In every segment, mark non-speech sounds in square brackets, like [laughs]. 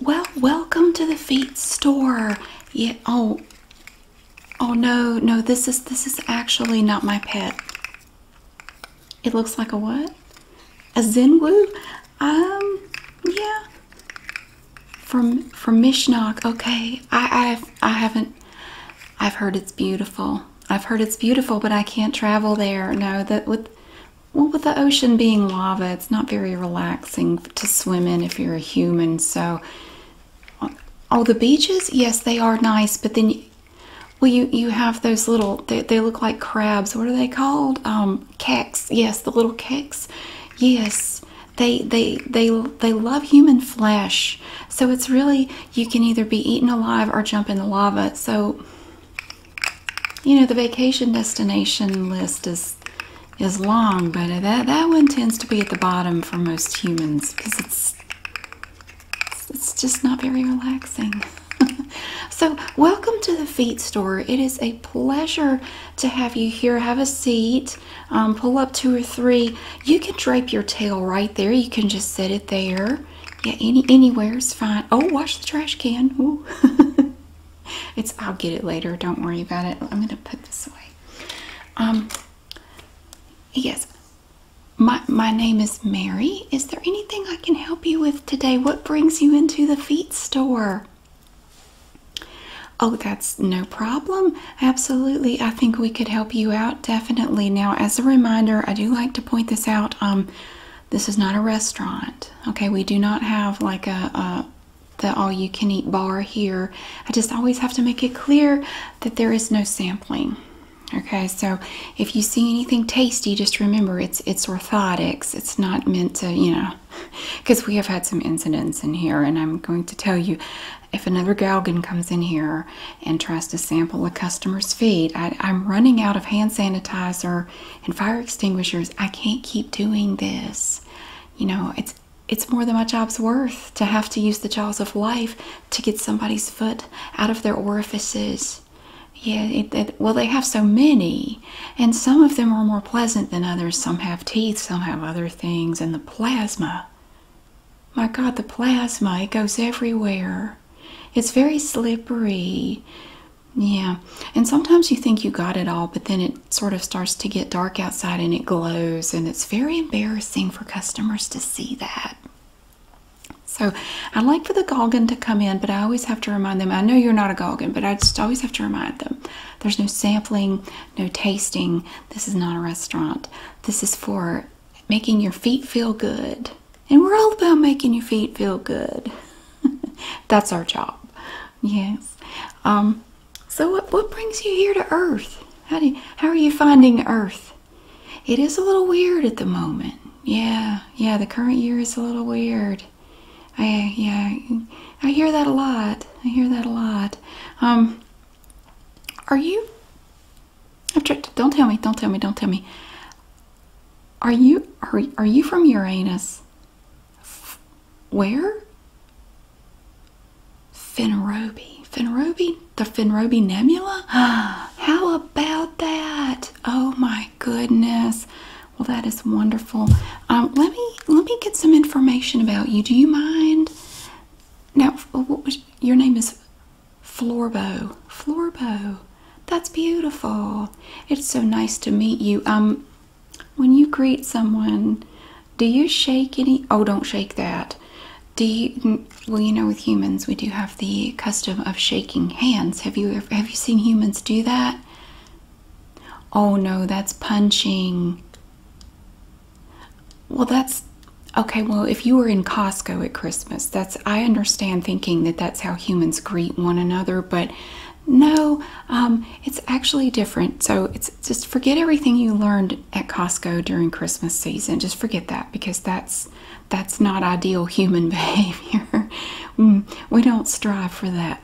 Well, welcome to the feet store. Yeah. Oh. Oh no, no. This is this is actually not my pet. It looks like a what? A Zenwu? Um. Yeah. From from Mishnock. Okay. I I've I haven't. I've heard it's beautiful. I've heard it's beautiful, but I can't travel there. No, that with well, with the ocean being lava, it's not very relaxing to swim in if you're a human. So, oh, the beaches, yes, they are nice, but then, well, you you have those little. They, they look like crabs. What are they called? Um, cacks. Yes, the little cacks. Yes, they they they they love human flesh. So it's really, you can either be eaten alive or jump in the lava. So, you know, the vacation destination list is is long, but that, that one tends to be at the bottom for most humans because it's, it's just not very relaxing. [laughs] so welcome to the feet store. It is a pleasure to have you here. Have a seat, um, pull up two or three. You can drape your tail right there. You can just set it there yeah any anywhere is fine oh wash the trash can [laughs] it's i'll get it later don't worry about it i'm gonna put this away um yes my my name is mary is there anything i can help you with today what brings you into the feet store Oh, that's no problem. Absolutely. I think we could help you out definitely. Now, as a reminder, I do like to point this out. Um, this is not a restaurant. Okay, we do not have like a the all-you-can-eat bar here. I just always have to make it clear that there is no sampling. Okay, so if you see anything tasty, just remember it's it's orthotics. It's not meant to, you know, because [laughs] we have had some incidents in here, and I'm going to tell you, if another Galgan comes in here and tries to sample a customer's feet. I, I'm running out of hand sanitizer and fire extinguishers. I can't keep doing this. You know, it's it's more than my job's worth to have to use the jaws of life to get somebody's foot out of their orifices. Yeah, it, it, well, they have so many, and some of them are more pleasant than others. Some have teeth, some have other things, and the plasma. My God, the plasma, it goes everywhere. It's very slippery. Yeah. And sometimes you think you got it all, but then it sort of starts to get dark outside and it glows, and it's very embarrassing for customers to see that. So i like for the goggin to come in, but I always have to remind them. I know you're not a goggin, but I just always have to remind them. There's no sampling, no tasting. This is not a restaurant. This is for making your feet feel good. And we're all about making your feet feel good. [laughs] That's our job. Yes. Um, so what, what brings you here to Earth? How, do how are you finding Earth? It is a little weird at the moment. Yeah, yeah, the current year is a little weird. I, yeah, I hear that a lot. I hear that a lot. Um, are you I tricked. Don't tell me. Don't tell me. Don't tell me. Are you are are you from Uranus? where? Finrobi. Finrobi? The Finrobi Nebula? [gasps] How about that? Oh my goodness. Well, that is wonderful. Um, let me let me get some information about you. Do you mind? Now, your name is Florbo. Florbo. That's beautiful. It's so nice to meet you. Um when you greet someone, do you shake any oh don't shake that. Do you well you know with humans we do have the custom of shaking hands. Have you ever have you seen humans do that? Oh no, that's punching. Well, that's okay. Well, if you were in Costco at Christmas, that's I understand thinking that that's how humans greet one another, but no, um, it's actually different. So it's just forget everything you learned at Costco during Christmas season. Just forget that because that's that's not ideal [laughs] human behavior. Mm, we don't strive for that.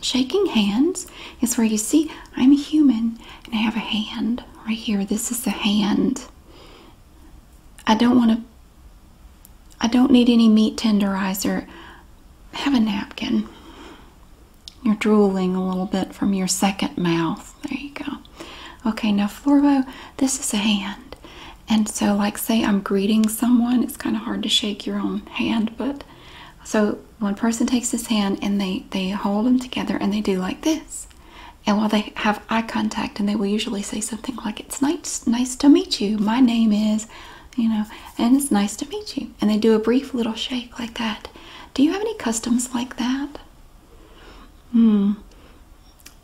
Shaking hands is where you see I'm a human and I have a hand right here. This is the hand. I don't want to I don't need any meat tenderizer. Have a napkin. You're drooling a little bit from your second mouth. There you go. Okay, now Florbo, this is a hand. And so, like, say I'm greeting someone, it's kind of hard to shake your own hand, but so one person takes this hand and they, they hold them together and they do like this and while they have eye contact and they will usually say something like it's nice nice to meet you my name is you know and it's nice to meet you and they do a brief little shake like that do you have any customs like that hmm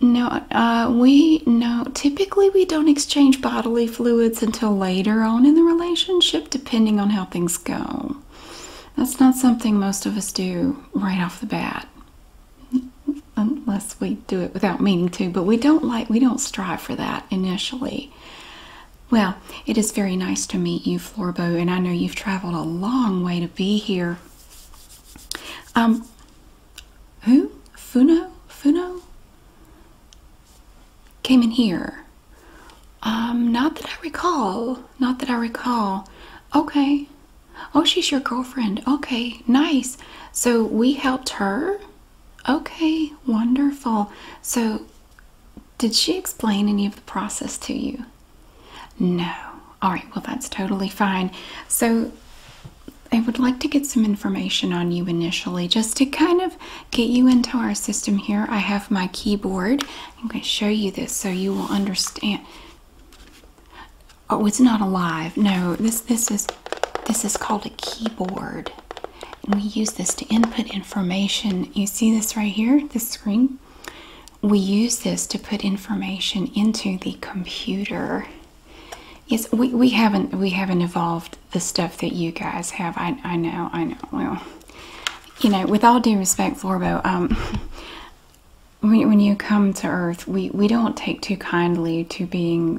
no uh, we no typically we don't exchange bodily fluids until later on in the relationship depending on how things go that's not something most of us do right off the bat unless we do it without meaning to, but we don't like, we don't strive for that initially. Well, it is very nice to meet you, Florbo, and I know you've traveled a long way to be here. Um, who? Funo? Funo? Came in here. Um, not that I recall. Not that I recall. Okay, Oh, she's your girlfriend. Okay, nice. So we helped her? Okay, wonderful. So did she explain any of the process to you? No. All right, well, that's totally fine. So I would like to get some information on you initially just to kind of get you into our system here. I have my keyboard. I'm going to show you this so you will understand. Oh, it's not alive. No, this this is this is called a keyboard. And we use this to input information. You see this right here, this screen? We use this to put information into the computer. Yes, we, we haven't we haven't evolved the stuff that you guys have. I I know, I know. Well, you know, with all due respect, Florbo, um [laughs] when, when you come to Earth, we, we don't take too kindly to being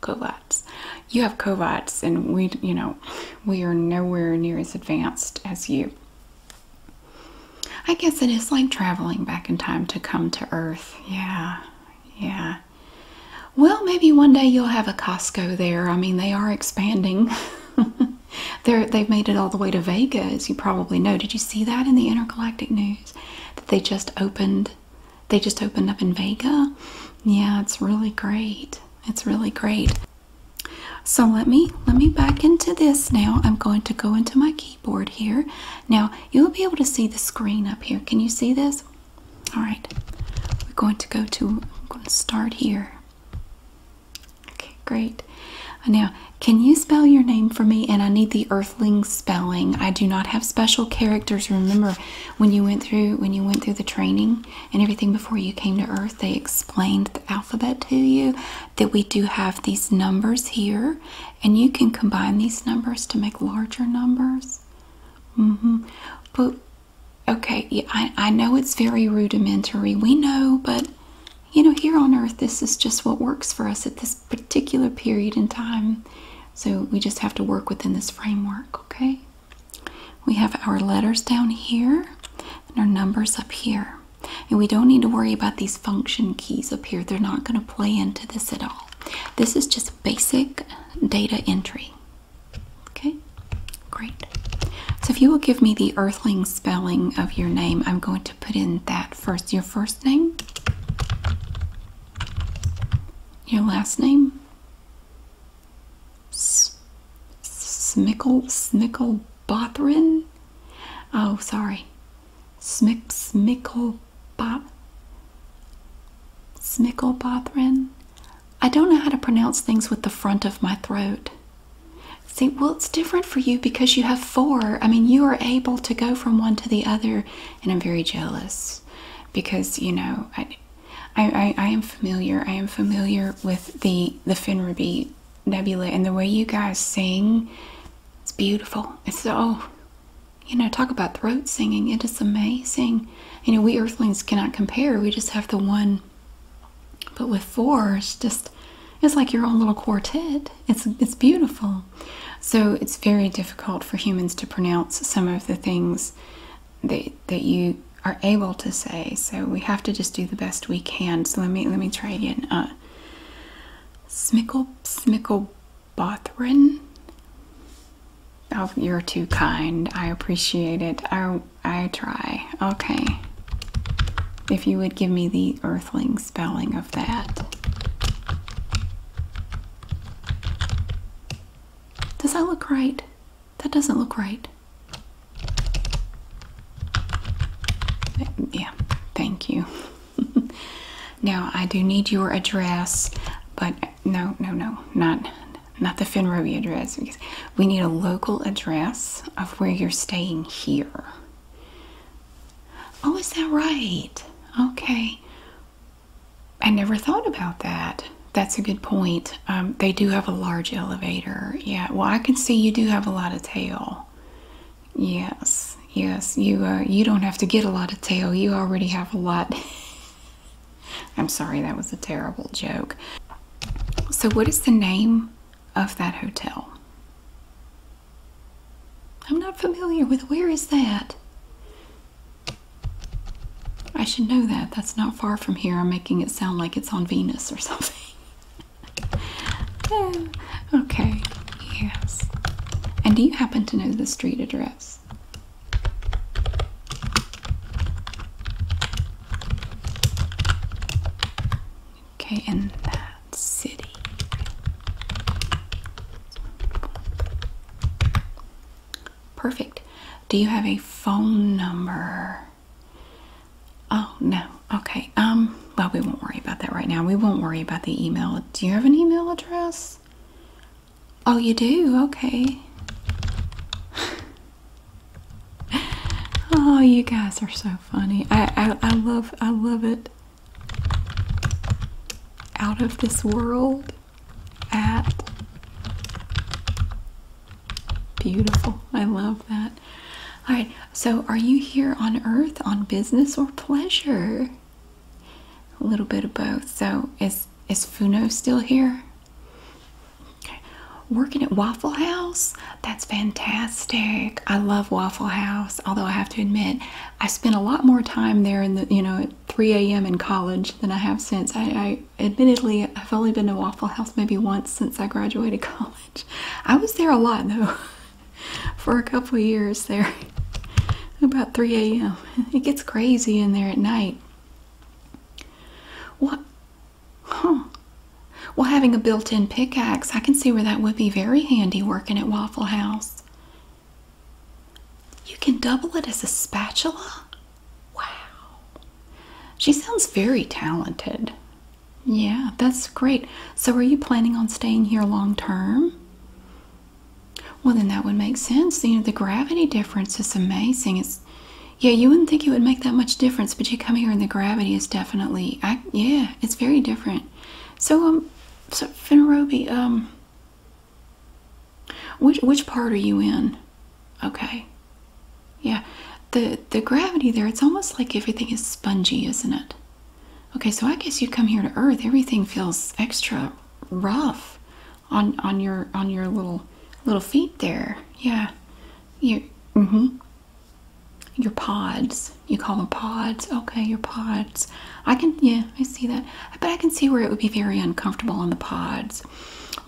cobots. You have cobots, and we, you know, we are nowhere near as advanced as you. I guess it is like traveling back in time to come to Earth. Yeah, yeah. Well, maybe one day you'll have a Costco there. I mean, they are expanding. [laughs] They're, they've made it all the way to Vegas, you probably know. Did you see that in the intergalactic news? That they just opened they just opened up in Vega. Yeah, it's really great. It's really great. So let me let me back into this now. I'm going to go into my keyboard here. Now you'll be able to see the screen up here. Can you see this? All right. We're going to go to I'm going to start here. Okay, great. Now, can you spell your name for me? And I need the earthling spelling. I do not have special characters. Remember, when you went through when you went through the training and everything before you came to earth they explained the alphabet to you that we do have these numbers here and you can combine these numbers to make larger numbers mm-hmm but okay I, I know it's very rudimentary we know but you know here on earth this is just what works for us at this particular period in time so we just have to work within this framework, okay? We have our letters down here and our numbers up here. And we don't need to worry about these function keys up here. They're not going to play into this at all. This is just basic data entry. Okay, great. So if you will give me the earthling spelling of your name, I'm going to put in that first. Your first name, your last name, Smickle Smickle Bothrin? Oh, sorry. Smick Smickle Bob Smickle Bothrin? I don't know how to pronounce things with the front of my throat. See, well, it's different for you because you have four. I mean, you are able to go from one to the other, and I'm very jealous because, you know, I, am familiar. I am familiar with the the Finraby Nebula and the way you guys sing. It's beautiful. It's oh, you know, talk about throat singing. It is amazing. You know, we Earthlings cannot compare. We just have the one. But with four, it's just it's like your own little quartet. It's it's beautiful. So it's very difficult for humans to pronounce some of the things that that you are able to say. So we have to just do the best we can. So let me let me try again. Uh, Smickle Smickle Bothrin. Oh, you're too kind. I appreciate it. I I try. Okay. If you would give me the earthling spelling of that. Does that look right? That doesn't look right. Yeah, thank you. [laughs] now I do need your address, but no, no, no, not not the Finrovia address because we need a local address of where you're staying here. Oh, is that right? Okay. I never thought about that. That's a good point. Um, they do have a large elevator. Yeah. Well, I can see you do have a lot of tail. Yes. Yes. You uh, you don't have to get a lot of tail. You already have a lot. [laughs] I'm sorry. That was a terrible joke. So, what is the name of that hotel? I'm not familiar with where is that? I should know that. That's not far from here. I'm making it sound like it's on Venus or [laughs] something. Eh, okay, yes. And do you happen to know the street address? Okay, in that city. Perfect. Do you have a phone number? Oh no. Okay. Um. Well, we won't worry about that right now. We won't worry about the email. Do you have an email address? Oh, you do. Okay. [laughs] oh, you guys are so funny. I, I love I love it. Out of this world at beautiful i love that all right so are you here on earth on business or pleasure a little bit of both so is is funo still here working at waffle house that's fantastic i love waffle house although i have to admit i spent a lot more time there in the you know at 3 a.m in college than i have since i, I admittedly I've only been to Waffle House maybe once since I graduated [laughs] college. I was there a lot though [laughs] for a couple years there [laughs] about 3 a.m. It gets crazy in there at night. What? Huh. Well, having a built in pickaxe, I can see where that would be very handy working at Waffle House. You can double it as a spatula? Wow. She sounds very talented. Yeah, that's great. So, are you planning on staying here long term? Well, then that would make sense. the gravity difference is amazing. It's, yeah, you wouldn't think it would make that much difference, but you come here and the gravity is definitely, I, yeah, it's very different. So, um, so Finrobi, um, which which part are you in? Okay. Yeah. The the gravity there, it's almost like everything is spongy, isn't it? Okay, so I guess you come here to Earth, everything feels extra rough on on your on your little little feet there. Yeah. You mm-hmm. Your pods. You call them pods. Okay, your pods. I can yeah, I see that. But I can see where it would be very uncomfortable on the pods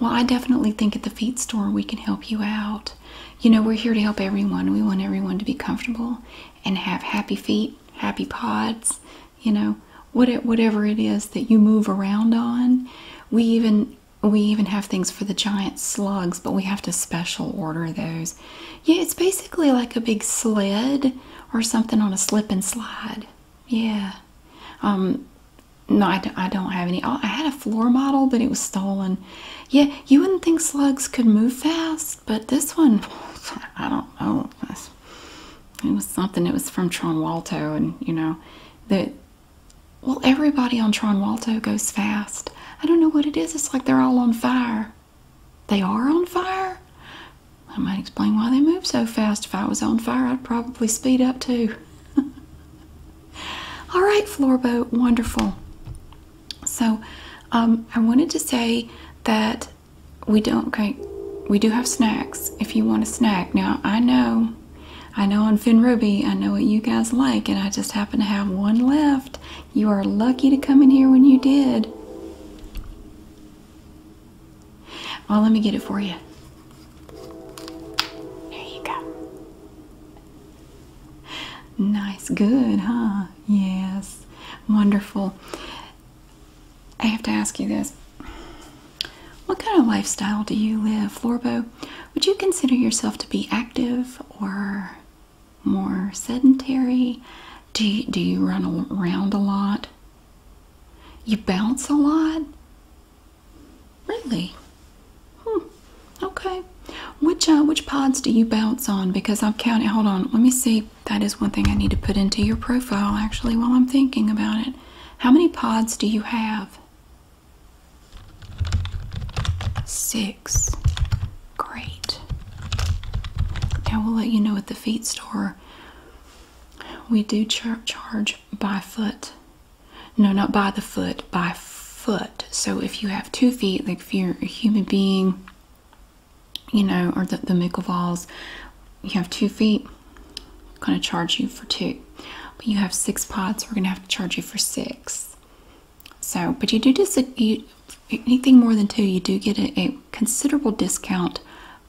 well i definitely think at the feed store we can help you out you know we're here to help everyone we want everyone to be comfortable and have happy feet happy pods you know whatever it is that you move around on we even we even have things for the giant slugs but we have to special order those yeah it's basically like a big sled or something on a slip and slide yeah um no, I don't, I don't have any. Oh, I had a floor model, but it was stolen. Yeah, you wouldn't think slugs could move fast, but this one, [laughs] I don't know. It was something. It was from Tron Walto, and you know, that. Well, everybody on Tron Walto goes fast. I don't know what it is. It's like they're all on fire. They are on fire. I might explain why they move so fast. If I was on fire, I'd probably speed up too. [laughs] All right, Florbo, wonderful. So, um, I wanted to say that we don't. Okay, we do have snacks. If you want a snack, now I know, I know on FinRuby, I know what you guys like, and I just happen to have one left. You are lucky to come in here when you did. Well, let me get it for you. There you go. Nice, good, huh? Yes, wonderful. I have to ask you this. What kind of lifestyle do you live, Florbo? Would you consider yourself to be active or more sedentary? Do do you run around a lot? You bounce a lot? Really? Hmm. Okay. Which uh, which pods do you bounce on? Because I've counted. Hold on. Let me see. That is one thing I need to put into your profile actually while I'm thinking about it. How many pods do you have? Six. Great. Now we'll let you know at the feed store. We do charge by foot no, not by the foot, by foot. So if you have two feet, like if you're a human being, you know, or the, the Mikkelvals, you have two feet, I'm gonna charge you for two. But you have six pods. we're gonna have to charge you for six. So, but you do just you, anything more than two, you do get a considerable discount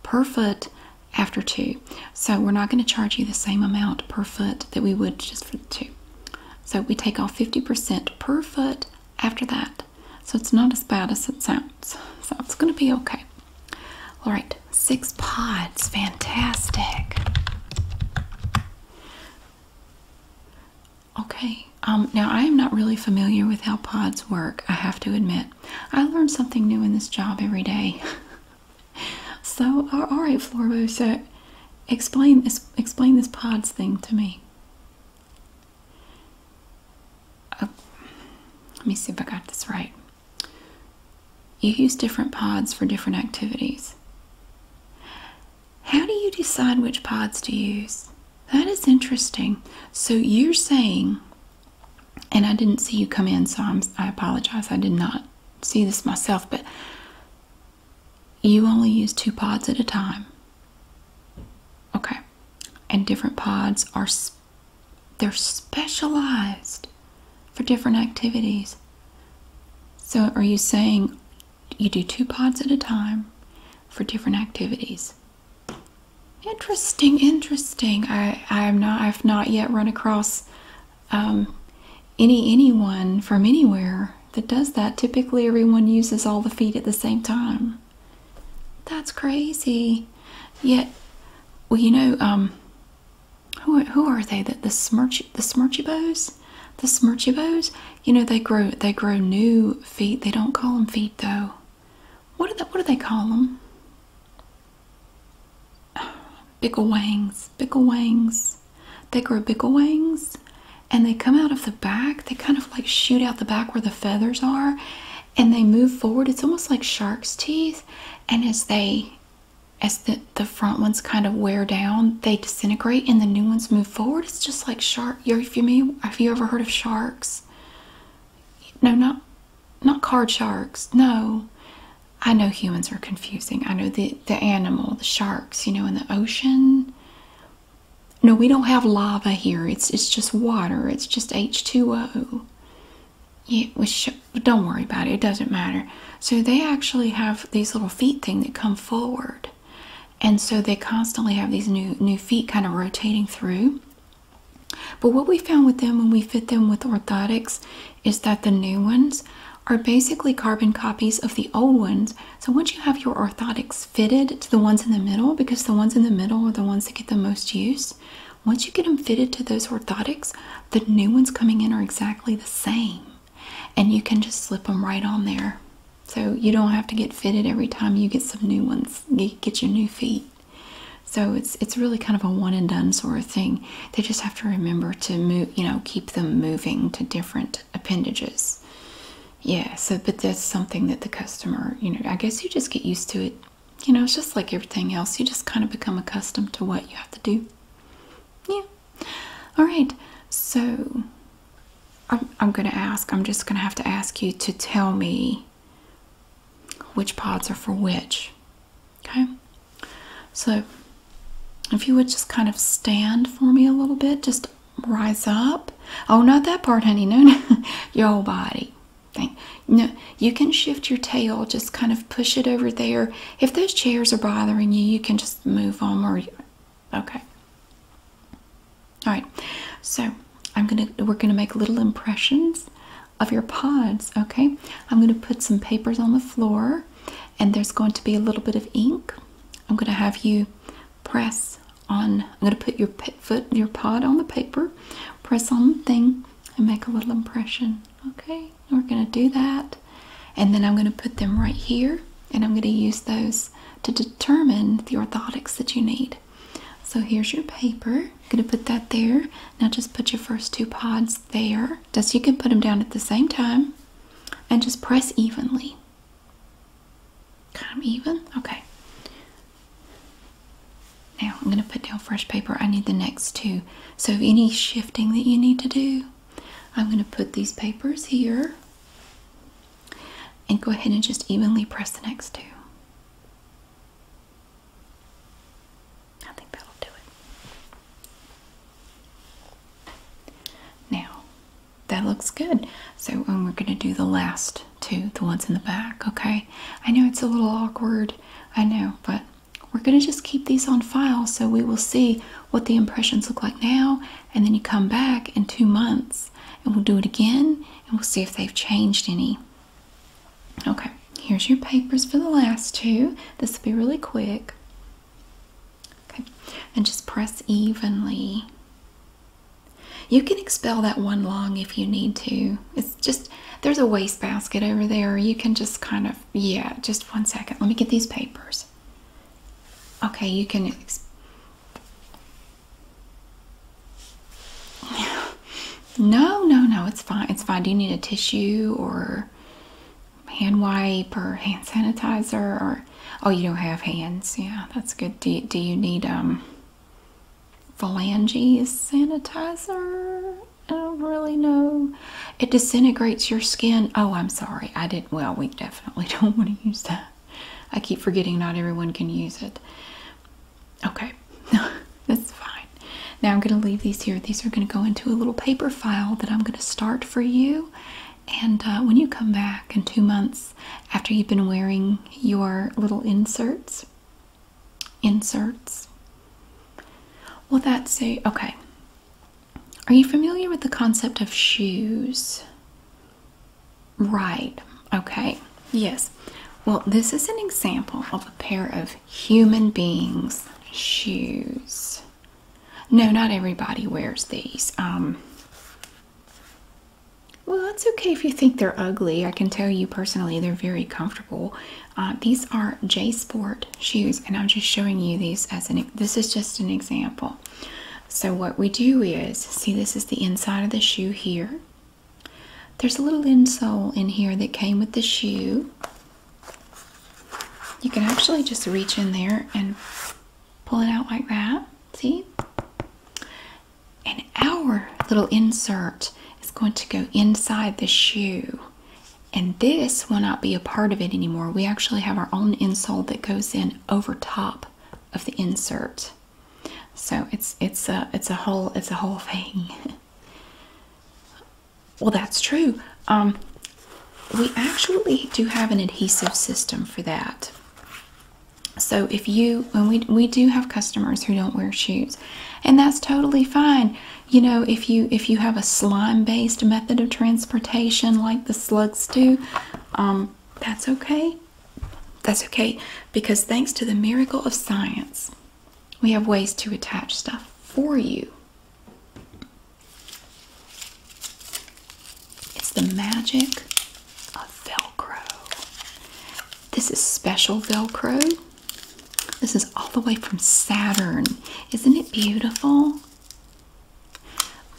per foot after two. So we're not going to charge you the same amount per foot that we would just for two. So we take off 50% per foot after that. So it's not as bad as it sounds. So it's going to be okay. All right, six pods. Fantastic. Okay, um, now I am not really familiar with how pods work, I have to admit. I learn something new in this job every day. [laughs] So, all right, Florbo. So, explain this. Explain this pods thing to me. Uh, let me see if I got this right. You use different pods for different activities. How do you decide which pods to use? That is interesting. So you're saying, and I didn't see you come in, so I'm, I apologize. I did not see this myself, but you only use two pods at a time. Okay. And different pods are they're specialized for different activities. So are you saying you do two pods at a time for different activities? Interesting, interesting. I I am not I've not yet run across um, any anyone from anywhere that does that. Typically, everyone uses all the feet at the same time. That's crazy. Yet, well, you know, um, who are they? That the smirchy the smirchy bows, the smirchy bows. You know, they grow they grow new feet. They don't call them feet though. What do they, what do they call them? bickle [sighs] wangs, bickle wangs. They grow bickle wangs and they come out of the back. They kind of like shoot out the back where the feathers are and they move forward. It's almost like shark's teeth. And as they as the, the front ones kind of wear down, they disintegrate and the new ones move forward. It's just like shark. You're familiar? Have you ever heard of sharks? No, not not card sharks. No, I know humans are confusing. I know the, the animal, the sharks, you know, in the ocean. No, we don't have lava here. It's it's just water. It's just H2O. Yeah, we should, don't worry about it. It doesn't matter. So they actually have these little feet thing that come forward. And so they constantly have these new new feet kind of rotating through. But what we found with them when we fit them with orthotics is that the new ones are basically carbon copies of the old ones. So once you have your orthotics fitted to the ones in the middle, because the ones in the middle are the ones that get the most use, once you get them fitted to those orthotics, the new ones coming in are exactly the same. And you can just slip them right on there. So you don't have to get fitted every time you get some new ones, get your new feet. So it's it's really kind of a one and done sort of thing. They just have to remember to move, you know, keep them moving to different appendages. Yeah, so but that's something that the customer, you know, I guess you just get used to it. You know, it's just like everything else. You just kind of become accustomed to what you have to do. Yeah. All right. So I'm, I'm going to ask, I'm just going to have to ask you to tell me which pods are for which. Okay, so if you would just kind of stand for me a little bit, just rise up. Oh, not that part, honey. No, no, [laughs] your whole body. Thing. No, you can shift your tail, just kind of push it over there. If those chairs are bothering you, you can just move them or okay. All right, so I'm gonna we're gonna make little impressions of your pods. Okay, I'm gonna put some papers on the floor and there's going to be a little bit of ink. I'm going to have you press on, I'm going to put your foot, your pod on the paper, press on the thing, and make a little impression. Okay, we're going to do that. And then I'm going to put them right here, and I'm going to use those to determine the orthotics that you need. So here's your paper. I'm going to put that there. Now just put your first two pods there. Just you can put them down at the same time and just press evenly. Kind of even? Okay. Now I'm going to put down fresh paper. I need the next two. So, any shifting that you need to do, I'm going to put these papers here and go ahead and just evenly press the next two. I think that'll do it. Now, that looks good. So, um, we're going to do the last two, the ones in the back, okay? I know it's a little awkward, I know, but we're going to just keep these on file so we will see what the impressions look like now. And then you come back in two months and we'll do it again and we'll see if they've changed any. Okay, here's your papers for the last two. This will be really quick. Okay, and just press evenly. You can expel that one lung if you need to. It's just there's a wastebasket over there. You can just kind of, yeah, just one second. Let me get these papers. Okay, you can. [sighs] No, no, no, it's fine. It's fine. Do you need a tissue or hand wipe or hand sanitizer or oh you don't have hands yeah that's good do you, do you need um phalanges sanitizer i don't really know it disintegrates your skin oh i'm sorry i didn't well we definitely [laughs] don't want to use that i keep forgetting not everyone can use it okay [laughs] that's fine now i'm going to leave these here these are going to go into a little paper file that i'm going to start for you and uh, when you come back in two months after you've been wearing your little inserts, inserts, well, that's a okay. Are you familiar with the concept of shoes? Right, okay, yes. Well, this is an example of a pair of human beings' shoes. No, not everybody wears these. Um, well, it's okay if you think they're ugly. I can tell you personally, they're very comfortable. Uh, these are J Sport shoes, and I'm just showing you these as an. This is just an example. So what we do is, see, this is the inside of the shoe here. There's a little insole in here that came with the shoe. You can actually just reach in there and pull it out like that. See? And our little insert is going to go inside the shoe. And this will not be a part of it anymore. We actually have our own insole that goes in over top of the insert. So it's it's a it's a whole it's a whole thing. [laughs] well, that's true. Um, we actually do have an adhesive system for that. So if you when we we do have customers who don't wear shoes and that's totally fine. You know, if you if you have a slime-based method of transportation like the slugs do, um, that's okay. That's okay because thanks to the miracle of science, we have ways to attach stuff for you. It's the magic of Velcro. This is special Velcro. This is all the way from Saturn. Isn't it beautiful?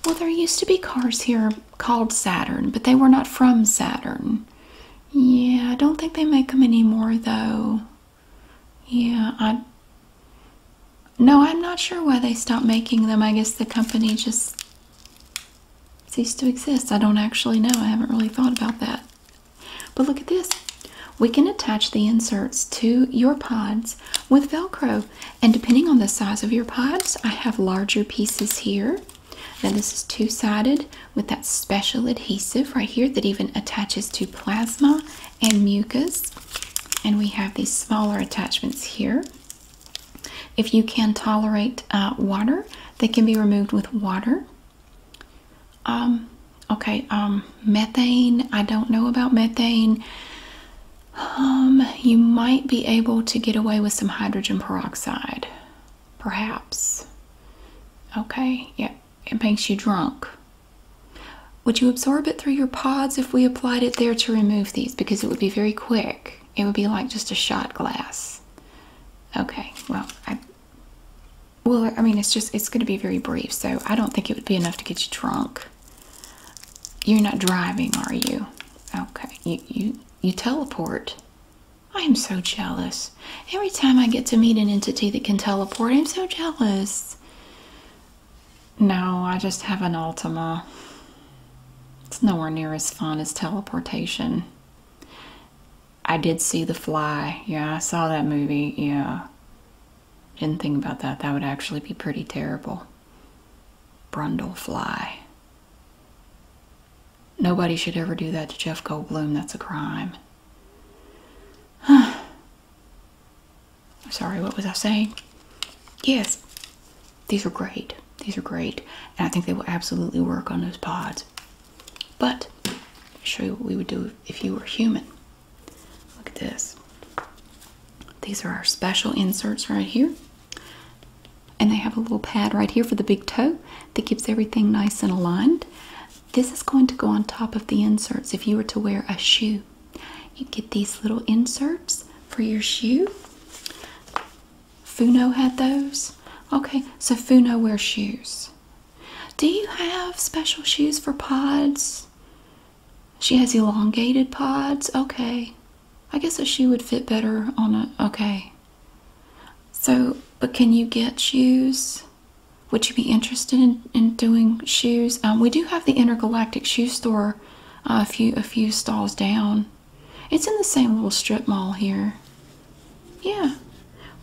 Well, there used to be cars here called Saturn, but they were not from Saturn. Yeah, I don't think they make them anymore, though. Yeah, I no, I'm not sure why they stopped making them. I guess the company just ceased to exist. I don't actually know. I haven't really thought about that. But look at this. We can attach the inserts to your pods with Velcro. And depending on the size of your pods, I have larger pieces here. Now this is two-sided with that special adhesive right here that even attaches to plasma and mucus. And we have these smaller attachments here. If you can tolerate uh, water, they can be removed with water. Um, okay, um, methane, I don't know about methane. Um, you might be able to get away with some hydrogen peroxide, perhaps. Okay, yeah, it makes you drunk. Would you absorb it through your pods if we applied it there to remove these? Because it would be very quick. It would be like just a shot glass. Okay, well, I. Well, I mean, it's just, it's going to be very brief, so I don't think it would be enough to get you drunk. You're not driving, are you? Okay, you, you, you teleport. I am so jealous. Every time I get to meet an entity that can teleport, I'm so jealous. No, I just have an Ultima. It's nowhere near as fun as teleportation. I did see The Fly. Yeah, I saw that movie. Yeah. Didn't think about that. That would actually be pretty terrible. Brundle Fly. Nobody should ever do that to Jeff Goldblum. That's a crime. [sighs] Sorry, what was I saying? Yes, these are great. These are great, and I think they will absolutely work on those pods. But I'll show you what we would do if you were human. Look at this. These are our special inserts right here. And they have a little pad right here for the big toe that keeps everything nice and aligned. This is going to go on top of the inserts if you were to wear a shoe. You get these little inserts for your shoe. Funo had those. Okay, so Funo wears shoes. Do you have special shoes for pods? She has elongated pods. Okay. I guess a shoe would fit better on a. Okay. So, but can you get shoes? Would you be interested in, in doing shoes? Um, we do have the Intergalactic Shoe Store a few a few stalls down. It's in the same little strip mall here. Yeah.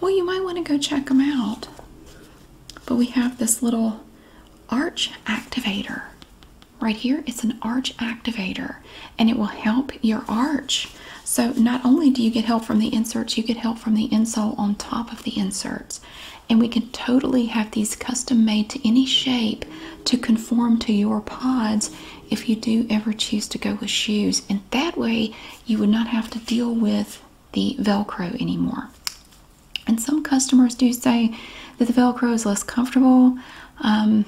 Well, you might want to go check them out. But we have this little arch activator. Right here, it's an arch activator and it will help your arch. So not only do you get help from the inserts, you get help from the insole on top of the inserts. And we can totally have these custom made to any shape to conform to your pods if you do ever choose to go with shoes. And that way, you would not have to deal with the Velcro anymore. And some customers do say that the Velcro is less comfortable. Um,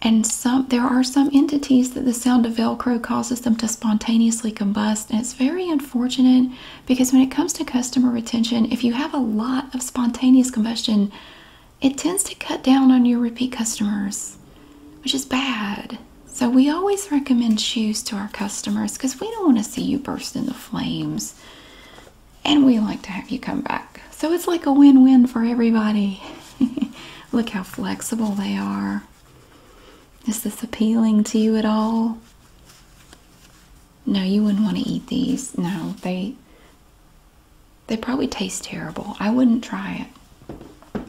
and some there are some entities that the sound of Velcro causes them to spontaneously combust. And it's very unfortunate because when it comes to customer retention, if you have a lot of spontaneous combustion, it tends to cut down on your repeat customers, which is bad. So, we always recommend shoes to our customers because we don't want to see you burst into flames. And we like to have you come back. So, it's like a win win for everybody. [laughs] Look how flexible they are. Is this appealing to you at all? No, you wouldn't want to eat these. No, they they probably taste terrible. I wouldn't try it.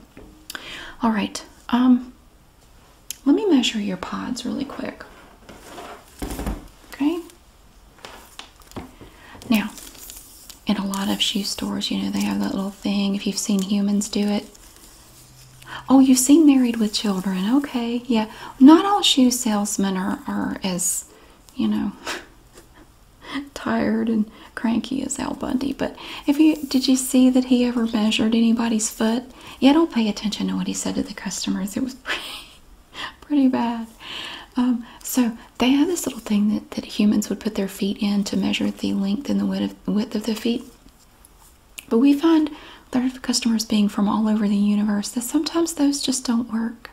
All right. Um let me measure your pods really quick. Okay? Now, in a lot of shoe stores, you know, they have that little thing if you've seen humans do it. Oh, you've seen Married with Children. Okay. Yeah. Not all shoe salesmen are, are as you know, [laughs] tired and cranky as Al Bundy. But if you did you see that he ever measured anybody's foot? Yeah, don't pay attention to what he said to the customers. It was [laughs] pretty, pretty bad. Um, so they have this little thing that, that humans would put their feet in to measure the length and the width of, width of the feet. But we find their customers being from all over the universe that sometimes those just don't work.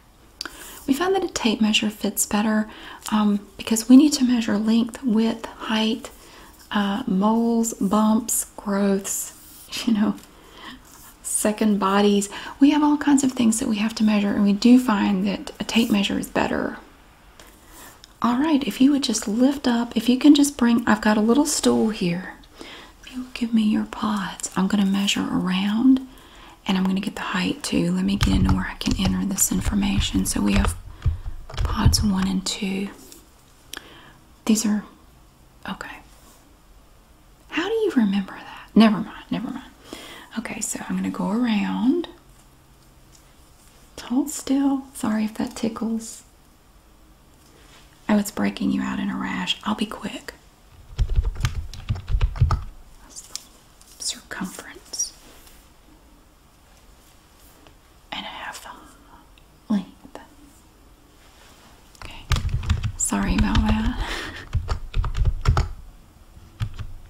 We found that a tape measure fits better um, because we need to measure length, width, height, uh, moles, bumps, growths, [laughs] you know, second bodies. We have all kinds of things that we have to measure, and we do find that a tape measure is better. All right, if you would just lift up, if you can just bring, I've got a little stool here. you give me your pods, I'm going to measure around and I'm going to get the height too. Let me get into where I can enter this information. So we have pods one and two. These are okay. How do you remember that? Never mind, never mind. Okay, so I'm going to go around. Hold still. Sorry if that tickles. Oh, it's breaking you out in a rash. I'll be quick circumference. And a the length. Okay, sorry about that. [laughs]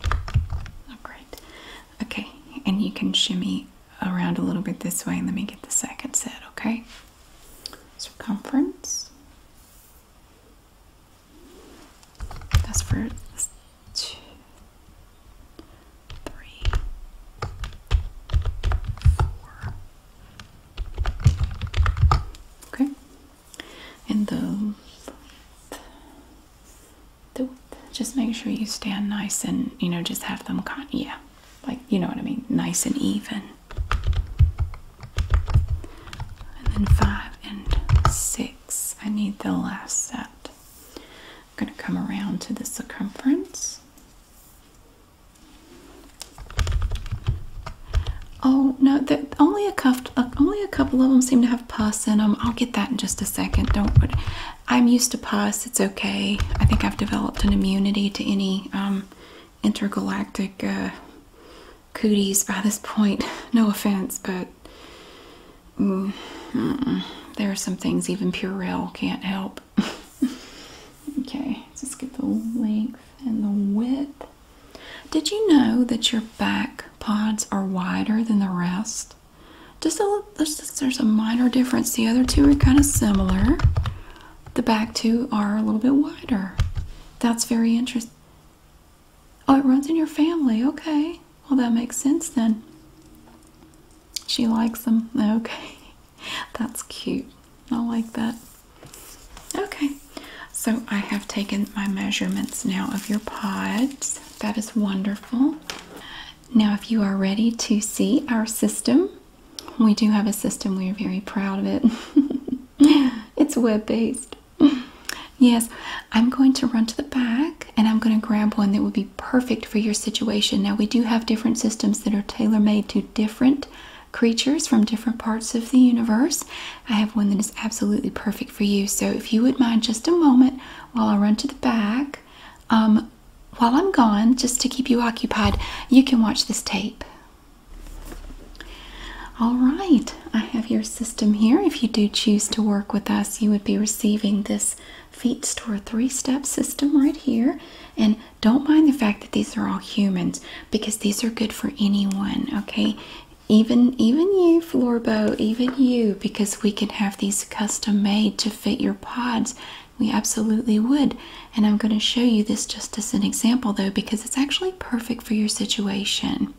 oh, great. Okay, and you can shimmy around a little bit this way and let me get the second set, okay? Circumference that's for two, three, four. Okay. And the the just make sure you stand nice and you know just have them con yeah like you know what I mean nice and even and then five and six. I need the last set. I'm going to come around to the circumference. Oh no! Only a cuffed, uh, only a couple of them seem to have pus in them. I'll get that in just a second. Don't. Worry. I'm used to pus. It's okay. I think I've developed an immunity to any um, intergalactic uh, cooties by this point. No offense, but there are some things even Purell can't help. [laughs] okay, let's just get the length and the width. Did you know that your back pods are wider than the rest? Just a there's a minor difference. The other two are kind of similar. The back two are a little bit wider. That's very interesting. Oh, it runs in your family. Okay. Well, that makes sense then. She likes them. [laughs] Okay. That's cute. I like that. Okay. So I have taken my measurements now of your pods. That is wonderful. Now, if you are ready to see our system, we do have a system. We are very proud of it. [laughs] it's web based. [sighs] yes, I'm going to run to the back and I'm going to grab one that would be perfect for your situation. Now, we do have different systems that are tailor made to different creatures from different parts of the universe. I have one that is absolutely perfect for you. So, if you would mind just a moment while I run to the back, um, while I'm gone, just to keep you occupied, you can watch this tape. All right, I have your system here. If you do choose to work with us, you would be receiving this Feet Store three step system right here. And don't mind the fact that these are all humans because these are good for anyone, okay? Even even you, Florbo, even you, because we can have these custom made to fit your pods. We absolutely would. And I'm going to show you this just as an example, though, because it's actually perfect for your situation.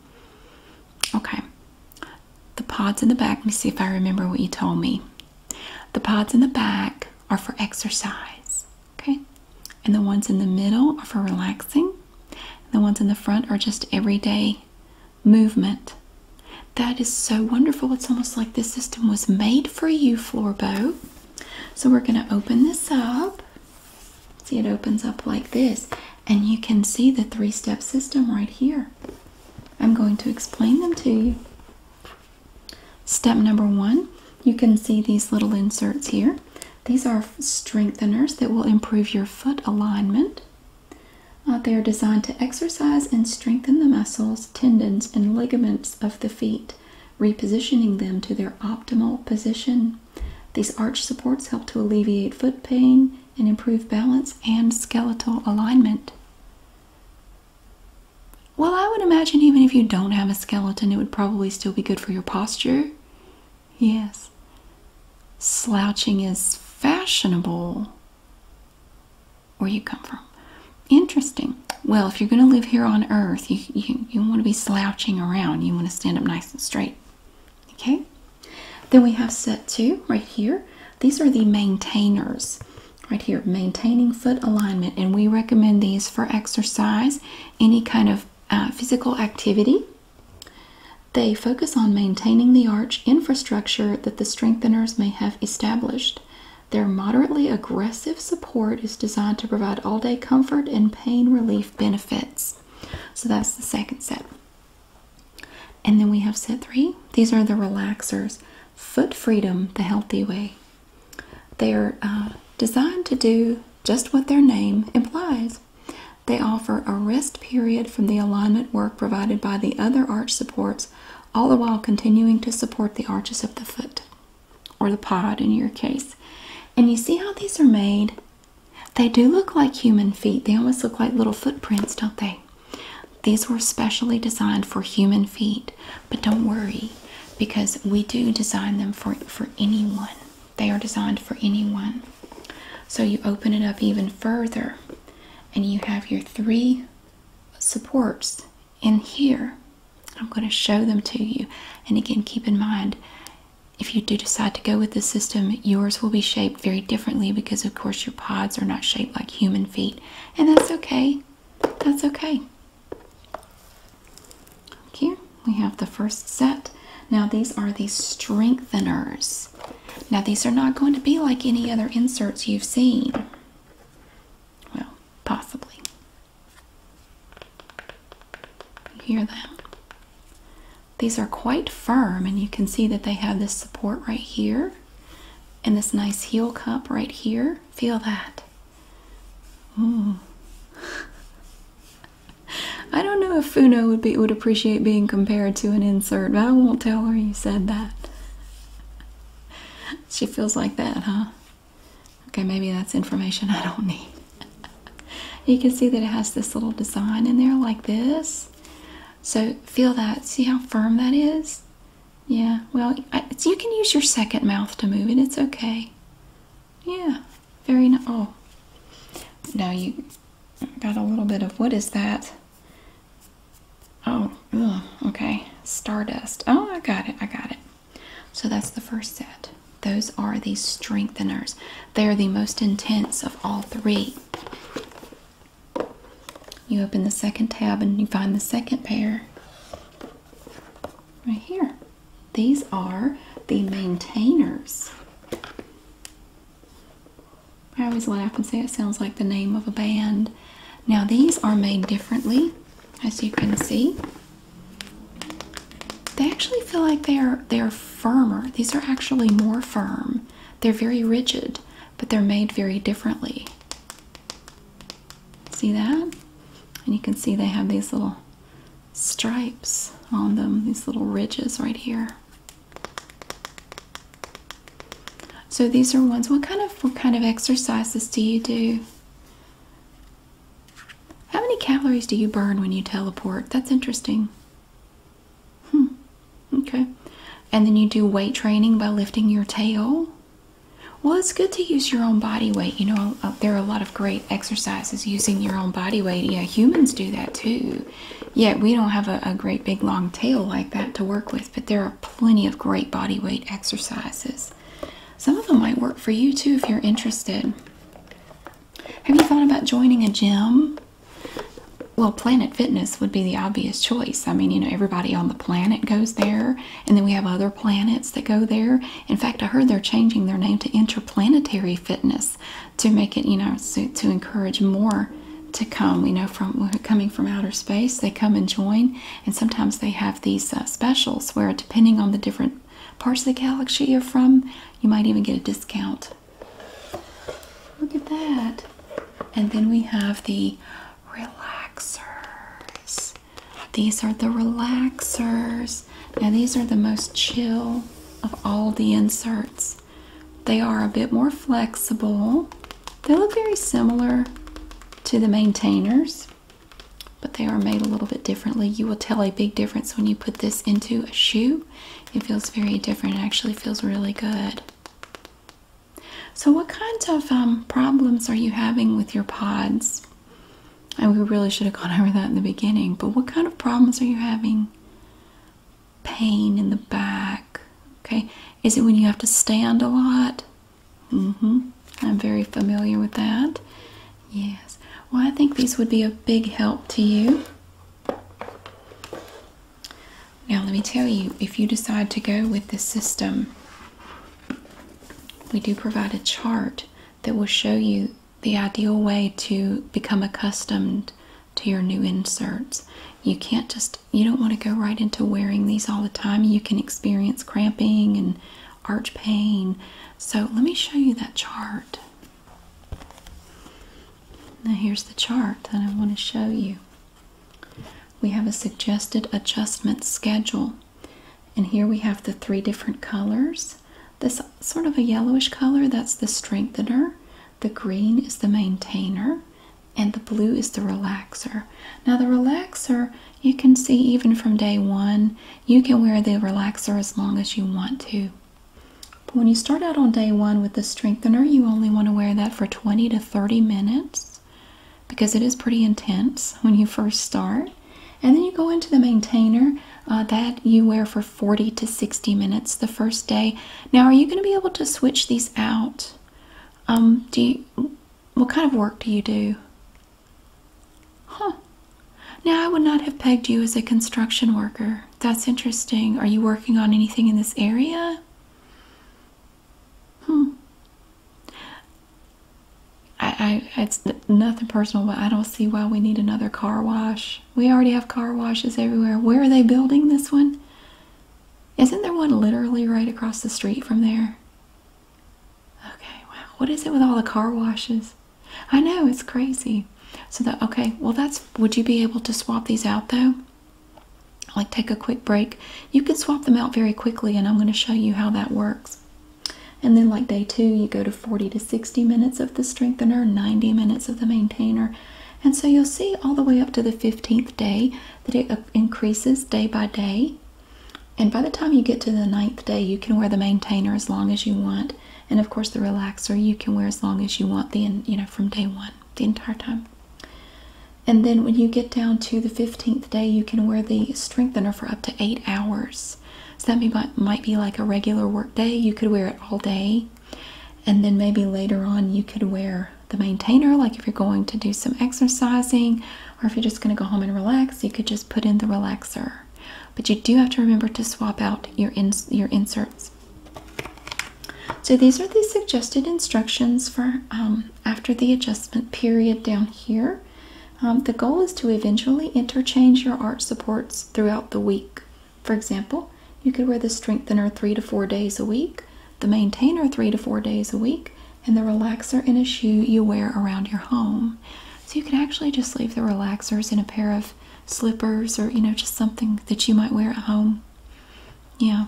Okay. The pods in the back, let me see if I remember what you told me. The pods in the back are for exercise, okay? And the ones in the middle are for relaxing. And the ones in the front are just everyday movement. That is so wonderful. It's almost like this system was made for you, Florbo. So we're going to open this up. See, it opens up like this, and you can see the three step system right here. I'm going to explain them to you. Step number one you can see these little inserts here. These are strengtheners that will improve your foot alignment. Uh, they are designed to exercise and strengthen the muscles, tendons, and ligaments of the feet, repositioning them to their optimal position. These arch supports help to alleviate foot pain and improve balance and skeletal alignment. Well, I would imagine even if you don't have a skeleton, it would probably still be good for your posture. Yes. Slouching is fashionable. Where you come from. Interesting. Well, if you're going to live here on Earth, you, you, you want to be slouching around. You want to stand up nice and straight. Okay, then we have set two right here. These are the maintainers right here, maintaining foot alignment, and we recommend these for exercise, any kind of uh, physical activity. They focus on maintaining the arch infrastructure that the strengtheners may have established. Their moderately aggressive support is designed to provide all day comfort and pain relief benefits. So that's the second set. And then we have set three. These are the relaxers, Foot Freedom the Healthy Way. They're uh, designed to do just what their name implies. They offer a rest period from the alignment work provided by the other arch supports, all the while continuing to support the arches of the foot or the pod in your case. And you see how these are made? They do look like human feet. They almost look like little footprints, don't they? These were specially designed for human feet, but don't worry because we do design them for, for anyone. They are designed for anyone. So you open it up even further and you have your three supports in here. I'm going to show them to you. And again, keep in mind if you do decide to go with this system, yours will be shaped very differently because, of course, your pods are not shaped like human feet, and that's okay. That's okay. Here we have the first set. Now, these are the strengtheners. Now, these are not going to be like any other inserts you've seen. Well, possibly. hear that? These are quite firm, and you can see that they have this support right here and this nice heel cup right here. Feel that. Ooh. Mm. [laughs] I don't know if Funo would be would appreciate being compared to an insert, but I won't tell her you said that. [laughs] She feels like that, huh? Okay, maybe that's information I don't need. [laughs] you can see that it has this little design in there like this. So feel that. See how firm that is? Yeah, well, you can use your second mouth to move it. It's okay. Yeah, very nice. Oh, now you got a little bit of what is that? Oh, ugh, okay. Stardust. Oh, I got it. I got it. So that's the first set. Those are the strengtheners. They are the most intense of all three. You open the second tab and you find the second pair right here. These are the maintainers. I always laugh and say it sounds like the name of a band. Now these are made differently, as you can see. They actually feel like they are they are firmer. These are actually more firm they're very rigid, but they're made very differently. See that? And you can see they have these little stripes on them, these little ridges right here. So these are ones. What kind of what kind of exercises do you do? How many calories do you burn when you teleport? That's interesting. Hmm. Okay. And then you do weight training by lifting your tail. Well, it's good to use your own body weight. You know, uh, there are a lot of great exercises using your own body weight. Yeah, humans do that too. Yet we don't have a, a great big long tail like that to work with, but there are plenty of great body weight exercises. Some of them might work for you too if you're interested. Have you thought about joining a gym? Well, Planet Fitness would be the obvious choice. I mean, you know, everybody on the planet goes there, and then we have other planets that go there. In fact, I heard they're changing their name to Interplanetary Fitness to make it, you know, to encourage more to come. We know from coming from outer space, they come and join, and sometimes they have these uh, specials where, depending on the different parts of the galaxy you're from, you might even get a discount Look at that. And then we have the relaxers. These are the relaxers. Now, these are the most chill of all the inserts. They are a bit more flexible. They look very similar to the maintainers, but they are made a little bit differently. You will tell a big difference when you put this into a shoe. It feels very different. It actually feels really good. So, what kinds of um, problems are you having with your pods? And we really should have gone [laughs] over that in the beginning, but what kind of problems are you having? Pain in the back. Okay. Is it when you have to stand a lot? Mm hmm. I'm very familiar with that. Yes. Well, I think these would be a big help to you. Now, let me tell you if you decide to go with this system, we do provide a chart that will show you the ideal way to become accustomed to your new inserts. You can't just, you don't want to go right into wearing these all the time. You can experience cramping and arch pain. So, let me show you that chart. Now here's the chart that I want to show you. We have a suggested adjustment schedule. And here we have the three different colors. This sort of a yellowish color, that's the strengthener. The green is the maintainer. And the blue is the relaxer. Now the relaxer, you can see even from day one, you can wear the relaxer as long as you want to. But when you start out on day one with the strengthener, you only want to wear that for 20 to 30 minutes because it is pretty intense when you first start. And then you go into the maintainer uh, that you wear for 40 to 60 minutes the first day. Now, are you going to be able to switch these out? Um, do you, what kind of work do you do? Huh. Now, I would not have pegged you as a construction worker. That's interesting. Are you working on anything in this area? Hmm. I, I it's nothing personal, but I don't see why we need another car wash. We already have car washes everywhere. Where are they building this one? Isn't there one literally right across the street from there? Okay, wow. What is it with all the car washes? I know it's crazy. So that okay, well that's would you be able to swap these out though? like take a quick break. You can swap them out very quickly and I'm going to show you how that works. And then like day two, you go to 40 to 60 minutes of the strengthener, 90 minutes of the maintainer. And so you'll see all the way up to the 15th day that it uh, increases day by day. And by the time you get to the ninth day, you can wear the maintainer as long as you want. And of course the relaxer you can wear as long as you want the, you know, from day one, the entire time. And then when you get down to the 15th day, you can wear the strengthener for up to eight hours. So that may, might be like a regular work day. You could wear it all day. And then maybe later on, you could wear the maintainer, like if you're going to do some exercising or if you're just going to go home and relax, you could just put in the relaxer. But you do have to remember to swap out your inserts so these are the suggested instructions for um, after the adjustment period down here. Um, the goal is to eventually interchange your art supports throughout the week. For example, you could wear the strengthener three to four days a week, the maintainer three to four days a week, and the relaxer in a shoe you wear around your home. So you can actually just leave the relaxers in a pair of slippers or, you know, just something that you might wear at home. Yeah.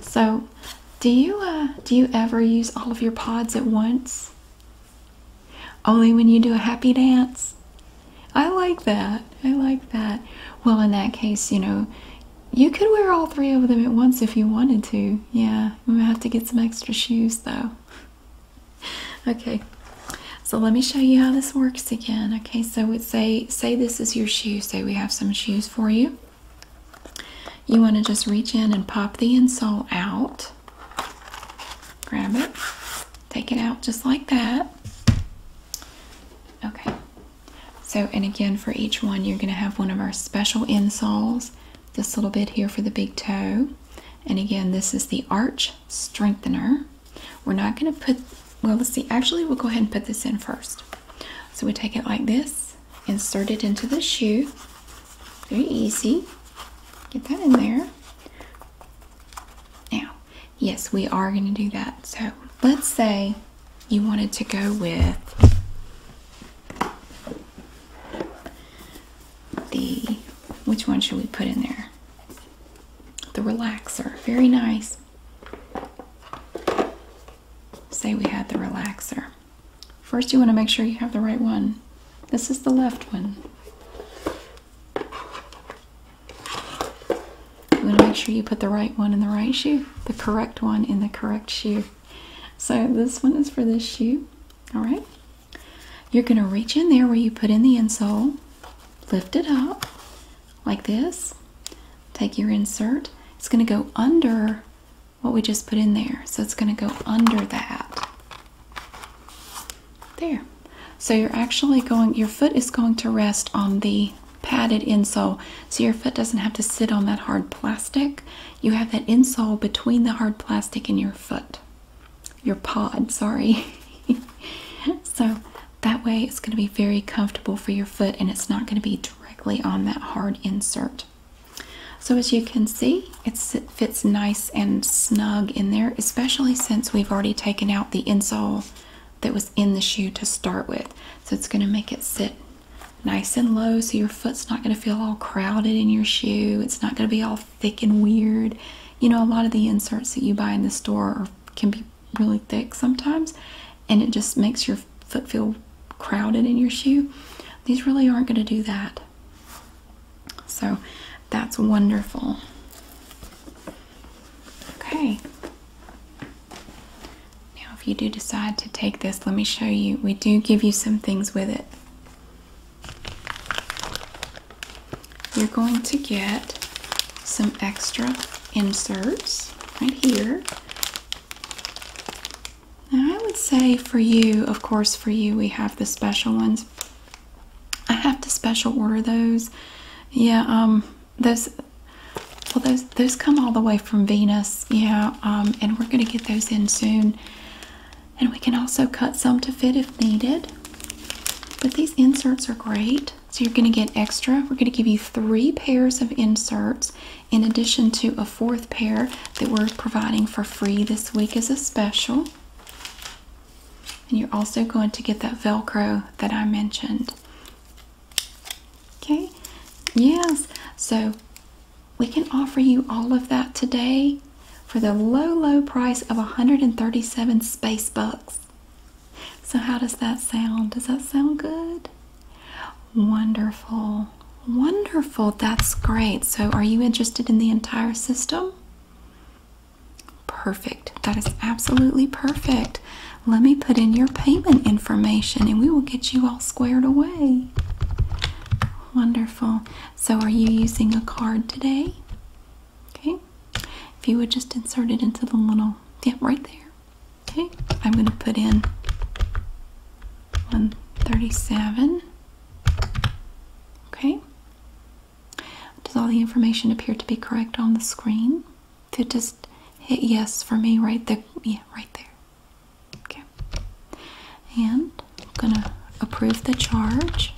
So, do you uh, do you ever use all of your pods at once? Only when you do a happy dance. I like that. I like that. Well, in that case, you know, you could wear all three of them at once if you wanted to. Yeah, we have to get some extra shoes though. [laughs] Okay, so let me show you how this works again. Okay, so we'd say, say this is your shoe. Say we have some shoes for you. You want to just reach in and pop the insole out. Grab it. Take it out just like that. Okay. So, and again, for each one, you're going to have one of our special insoles. This little bit here for the big toe. And again, this is the arch strengthener. We're not going to put well let's see actually we'll go ahead and put this in first so we take it like this insert it into the shoe very easy get that in there now yes we are going to do that so let's say you wanted to go with the which one should we put in there the relaxer very nice Say we had the relaxer. First, you want to make sure you have the right one. This is the left one. You want to make sure you put the right one in the right shoe, the correct one in the correct shoe. So this one is for this shoe, all right? You're gonna reach in there where you put in the insole, lift it up, like this. Take your insert. It's going to go under what we just put in there. So it's going to go under that. There. So you're actually going, your foot is going to rest on the padded insole. So your foot doesn't have to sit on that hard plastic. You have that insole between the hard plastic and your foot. Your pod, sorry. [laughs] so that way it's going to be very comfortable for your foot and it's not going to be directly on that hard insert. So as you can see, it fits nice and snug in there, especially since we've already taken out the insole that was in the shoe to start with. So it's going to make it sit nice and low so your foot's not going to feel all crowded in your shoe. It's not going to be all thick and weird. You know, a lot of the inserts that you buy in the store can be really thick sometimes and it just makes your foot feel crowded in your shoe. These really aren't going to do that. So that's wonderful. Okay. Now, if you do decide to take this, let me show you. We do give you some things with it. You're going to get some extra inserts right here. Now, I would say for you, of course, for you, we have the special ones. I have to special order those. Yeah, um, those. Well, those those come all the way from Venus. Yeah, um, and we're gonna get those in soon. And we can also cut some to fit if needed. But these inserts are great. So you're gonna get extra. We're gonna give you three pairs of inserts in addition to a fourth pair that we're providing for free this week as a special. And you're also going to get that Velcro that I mentioned. Okay, yes, so we can offer you all of that today for the low, low price of 137 space bucks. So, how does that sound? Does that sound good? Wonderful. Wonderful. That's great. So, are you interested in the entire system? Perfect. That is absolutely perfect. Let me put in your payment information and we will get you all squared away. Wonderful. So, are you using a card today? Okay. If you would just insert it into the little, yeah, right there. Okay, I'm going to put in 137. Okay. Does all the information appear to be correct on the screen? If just hit yes for me right there, yeah, right there. Okay. And I'm going to approve the charge.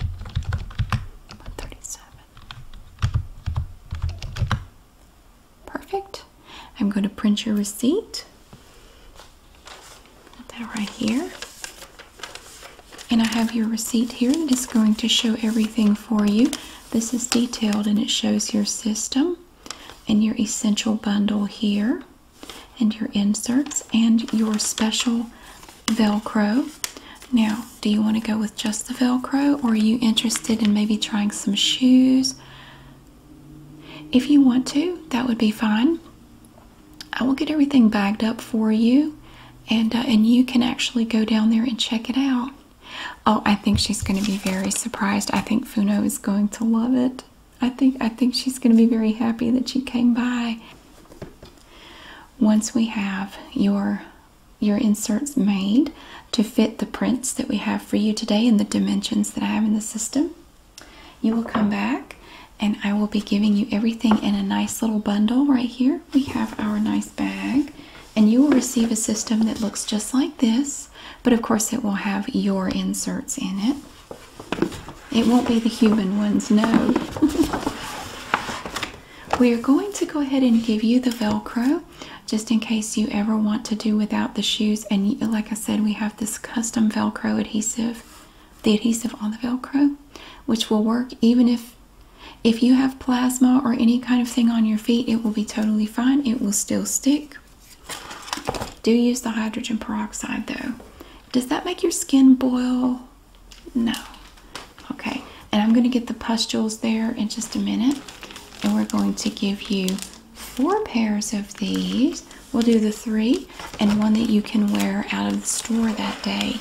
137. Perfect. I'm going to print your receipt. Put that right here. And I have your receipt here that is going to show everything for you. This is detailed and it shows your system and your essential bundle here and your inserts and your special Velcro. Now, do you want to go with just the Velcro or are you interested in maybe trying some shoes, if you want to, that would be fine. I will get everything bagged up for you, and uh, and you can actually go down there and check it out. Oh, I think she's going to be very surprised. I think Funo is going to love it. I think I think she's going to be very happy that you came by. Once we have your your inserts made to fit the prints that we have for you today and the dimensions that I have in the system. You will come back and I will be giving you everything in a nice little bundle right here. We have our nice bag and you will receive a system that looks just like this, but of course it will have your inserts in it. It won't be the human ones, no. [laughs] we are going to go ahead and give you the Velcro just in case you ever want to do without the shoes and you like like I said, we have this custom Velcro adhesive, the adhesive on the Velcro, which will work even if if you have plasma or any kind of thing on your feet, it will be totally fine. It will still stick. Do use the hydrogen peroxide though. Does that make your skin boil? No. Okay, and I'm going to get the pustules there in just a minute, and we're going to give you four pairs of these. We'll do the three and one that you can wear out of the store that day.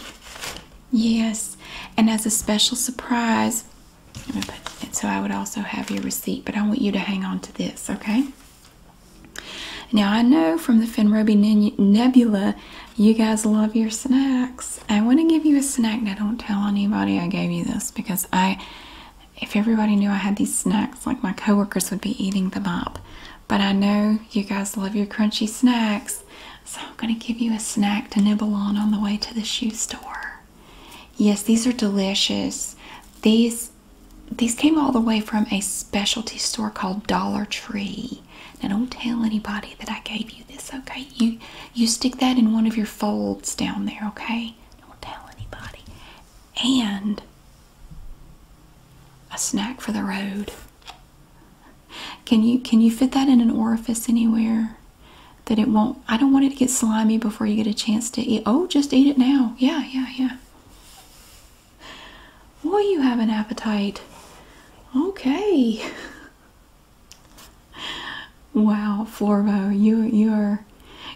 Yes, and as a special surprise, i so I would also have your receipt, but I want you to hang on to this, okay? Now, I know from the Fenrobe Nebula, you guys love your snacks. I want to give you a snack. Now, don't tell anybody I gave you this because I if everybody knew I had these snacks, like my coworkers would be eating them up. But I know you guys love your crunchy snacks, so I'm going to give you a snack to nibble on on the way to the shoe store. Yes, these are delicious. These these came all the way from a specialty store called Dollar Tree. Now don't tell anybody that I gave you this, okay? You you stick that in one of your folds down there, okay? Don't tell anybody. And a snack for the road. Can you can you fit that in an orifice anywhere? That it won't. I don't want it to get slimy before you get a chance to eat. Oh, just eat it now. Yeah, yeah, yeah. Boy, you have an appetite. Okay. [laughs] Wow, Florbo, you you're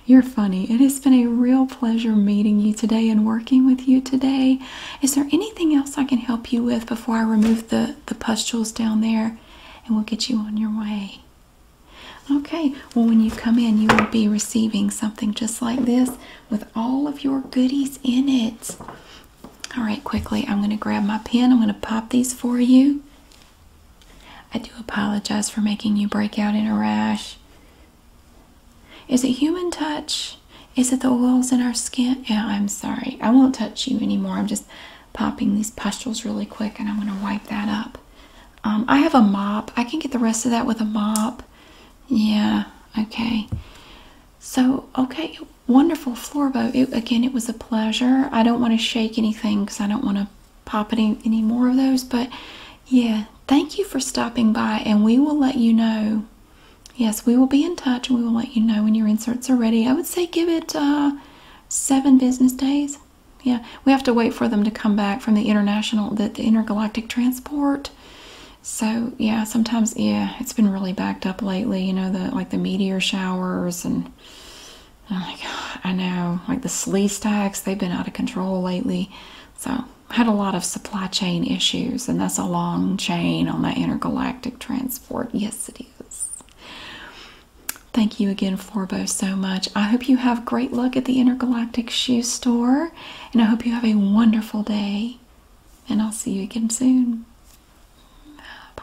you're funny. It has been a real pleasure meeting you today and working with you today. Is there anything else I can help you with before I remove the, the pustules down there and we'll get you on your way? Okay, well, when you come in, you will be receiving something just like this with all of your goodies in it. All right, quickly, I'm going to grab my pen. I'm going to pop these for you. I do apologize for making you break out in a rash. Is it human touch? Is it the oils in our skin? Yeah, I'm sorry. I won't touch you anymore. I'm just popping these pustules really quick and I'm going to wipe that up. Um, I have a mop. I can get the rest of that with a mop. Yeah, okay. So, okay, wonderful floor boat. again, it was a pleasure. I don't want to shake anything because I don't want to pop any, any more of those. But yeah, thank you for stopping by, and we will let you know. Yes, we will be in touch and we will let you know when your inserts are ready. I would say give it uh, seven business days. Yeah, we have to wait for them to come back from the international, the, intergalactic transport. So yeah, sometimes yeah, it's been really backed up lately. You know the like the meteor showers and oh my god, I know like the slee stacks. They've been out of control lately. So had a lot of supply chain issues, and that's a long chain on that intergalactic transport. Yes, it is. Thank you again, for both so much. I hope you have great luck at the Intergalactic Shoe Store, and I hope you have a wonderful day. And I'll see you again soon. bye.